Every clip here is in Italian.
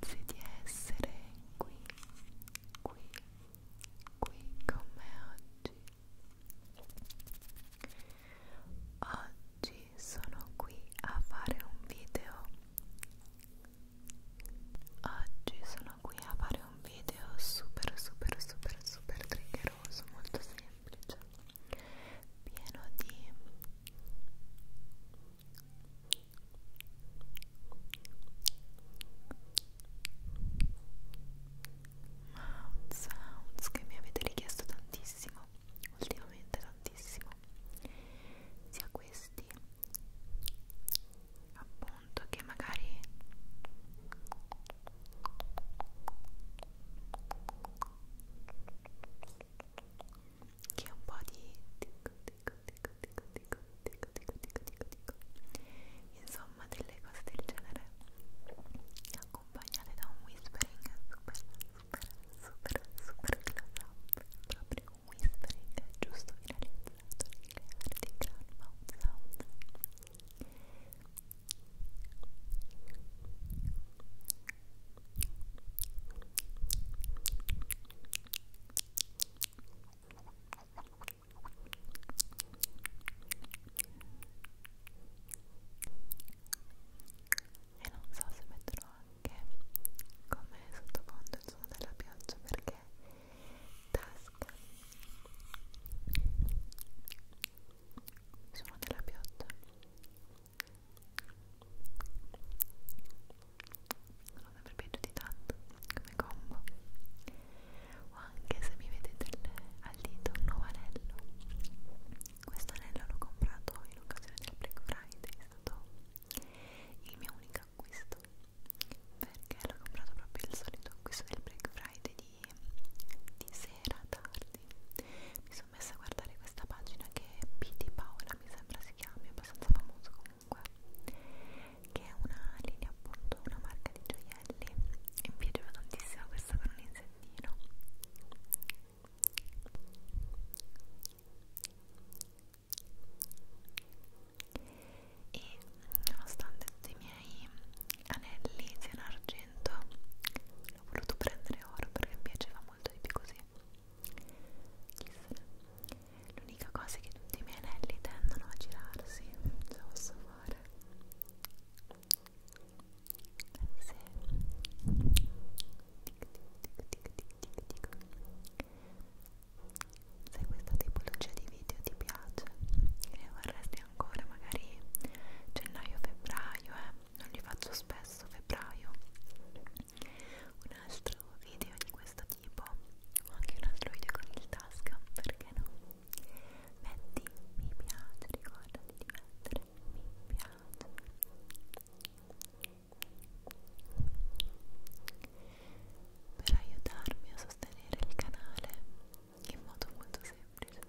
Grazie di essere qui, qui, qui con me oggi. Oggi sono qui a fare un video. Oggi sono qui a fare un video super, super, super, super triggeroso, molto semplice pieno di Mouth sounds che mi avete richiesto tantissimo, ultimamente tantissimo, sia questi appunto che magari che è un po' di dico dico dico dico dico dico dico dico dico dico insomma delle cose del genere accompagnate da un whispering super super super super close proprio un whispering giusto finalizzato nel creare dei grand mouth sound Ora e non so se metterò anche come sottofondo il suono della pioggia perché tasca il suono della pioggia sono sempre piaciuti tanto come combo o anche se mi vedete il, al dito un nuovo anello questo anello l'ho comprato in occasione del Black Friday è stato il mio unico acquisto perché l'ho comprato proprio il solito acquisto del Black Friday di, di sera tardi mi sono messa a guardare questa pagina che è P di Paola mi sembra si si chiami, è abbastanza famoso comunque che è una linea appunto, una marca di gioielli e mi piaceva tantissimo questa con un insettino e nonostante tutti i miei anelli siano argento l'ho voluto prendere oro perché mi piaceva molto di più così Chissà. L'unica cosa è che tutti i miei anelli tendono a girarsi, ce la posso fare. Sì. Tic, tic, tic, tic, tic, tic. Se questa tipologia di video ti piace e ne vorresti ancora magari gennaio-febbraio, eh, non li faccio spesso febbraio un altro video di questo tipo o anche un altro video con il task perché no? metti mi piace ricordati di mettere mi piace per aiutarmi a sostenere il canale in modo molto semplice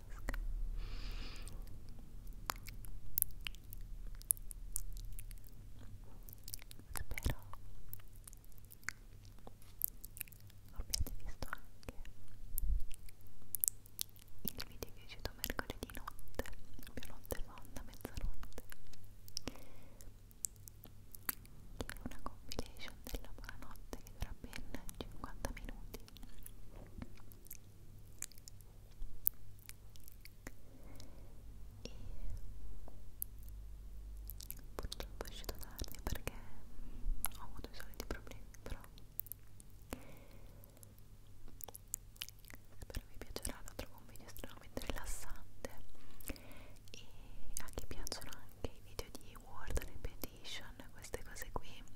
tasca spero abbiate visto anche il video che è uscito mercoledì notte più notte fonda, mezzanotte che è una compilation della buonanotte che dura ben 50 minuti e purtroppo è uscito tardi perché ho avuto i soliti problemi però spero vi piacerà lo trovo un video estremamente rilassante e a chi piacciono anche i video di word repetition queste cose qui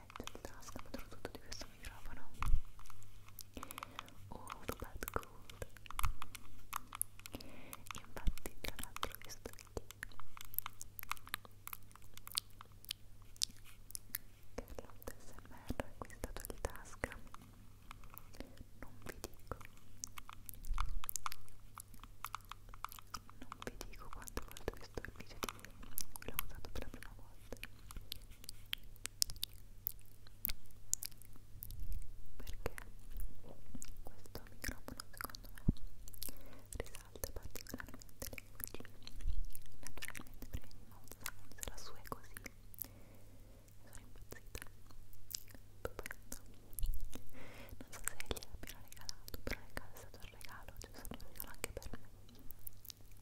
macchinetta di tasca, ma soprattutto di questo microfono. Old but cold. Infatti, tra l'altro, questo qui Carlotta SMR ha acquistato il tasca. Non vi dico. Non vi dico quanto ho fatto questo video di cui l'ho usato per la prima volta questo microfono secondo me risalta particolarmente le voci naturalmente prima di Mozza se la sua è così sono impazzita stupendo non so se gli abbiano regalato però è stato un regalo cioè è stato un regalo anche per me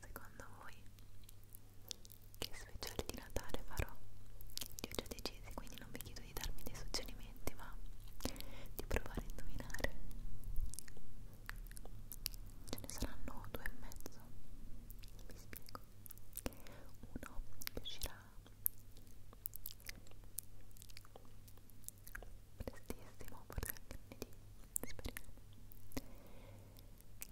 Secondo voi che speciale di Natale farò? Li ho già decisi, quindi non vi chiedo di darmi dei suggerimenti, ma di provare a indovinare. Ce ne saranno due e mezzo. Vi spiego. Uno che uscirà prestissimo, forse anche lunedì, speriamo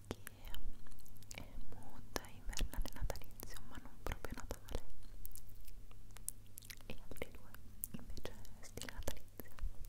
che è muta, invernale, natalizio, ma non proprio natale e altri due invece stile natalizio Ecco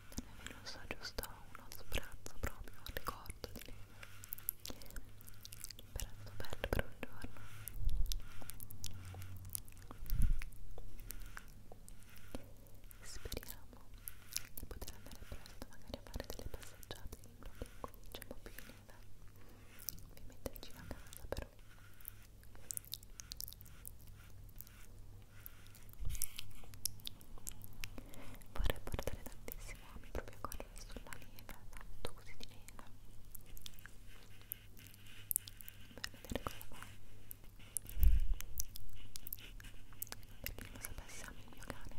se ne è venuto giusto uno sprazzo proprio al ricordo di lei per bello per un giorno e speriamo di poter andare presto magari a fare delle passeggiate in un luogo un po' più umida ovviamente vicino a casa però Vorrei portare tantissimo ami proprio a correre sulla neve, tanto così di neve per vedere cosa fa per chi lo sapesse ami il mio cane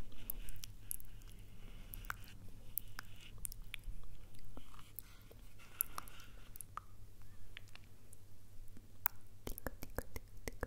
Dico, dico, dico, dico,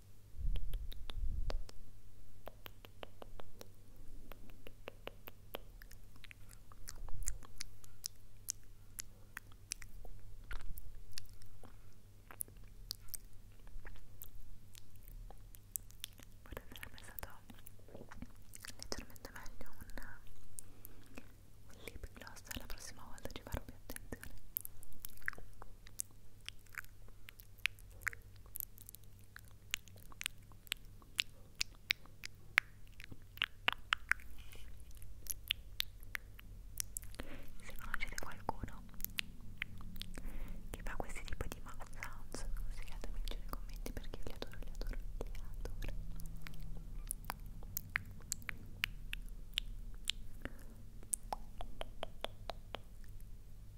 sarebbe stato leggermente meglio un, un lip gloss la prossima volta ci farò più attenzione se conoscete qualcuno che fa questi tipi di mouth sounds, consigliatemi giù nei commenti perché io li adoro, li adoro, li adoro. Ora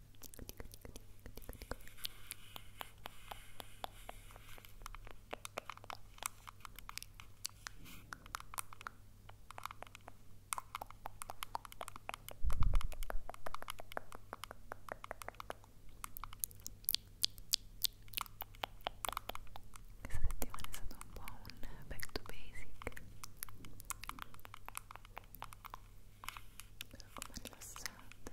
Questa settimana è stato un po' un back to basic. Spero come rilassante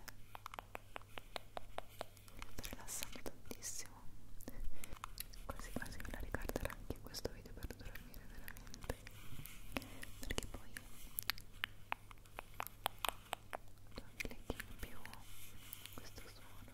sta rilassando tantissimo quasi quasi me la ricorderà anche questo video per dormire veramente perché poi non clicchi più questo suono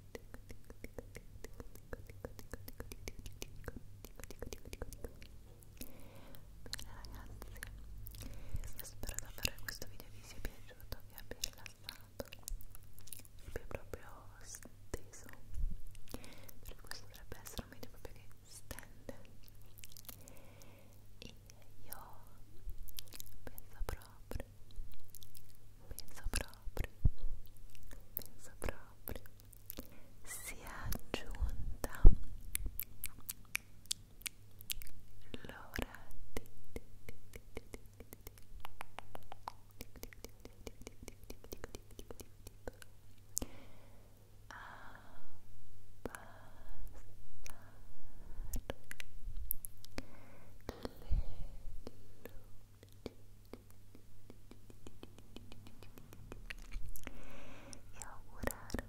io spero davvero che questo video vi sia piaciuto, vi abbia rilassato, vi abbia proprio steso, perché questo dovrebbe essere un video proprio che stende. E io penso proprio pensa proprio, pensa proprio, si è aggiunta l'ora di, di, di, di, di, di, di. Abbassare le luci e augurar,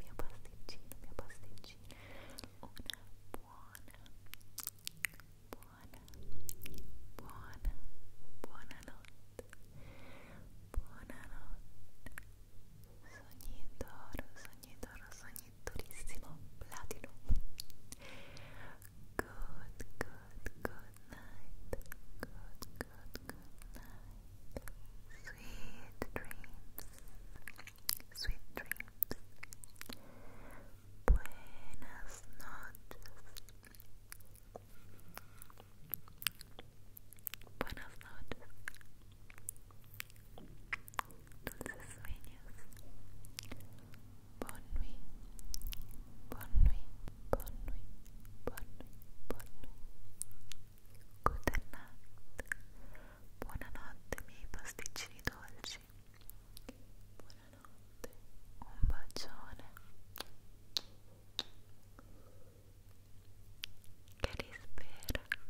mia pasticina, mia pasticina, una buona, buona, buona, buona notte, buona notte, sognidoro, sognidoro, sognidoro durissimo platino good good good night good good good sweet dreams sweet dreams buenas noches Buenas noches. dulces sueños. Bonne nuit, bonne nuit, bonne nuit, bonne nuit, bonne nuit. Good night. Buonanotte miei pasticcini dolci. Buonanotte, un bacione. Che rispera.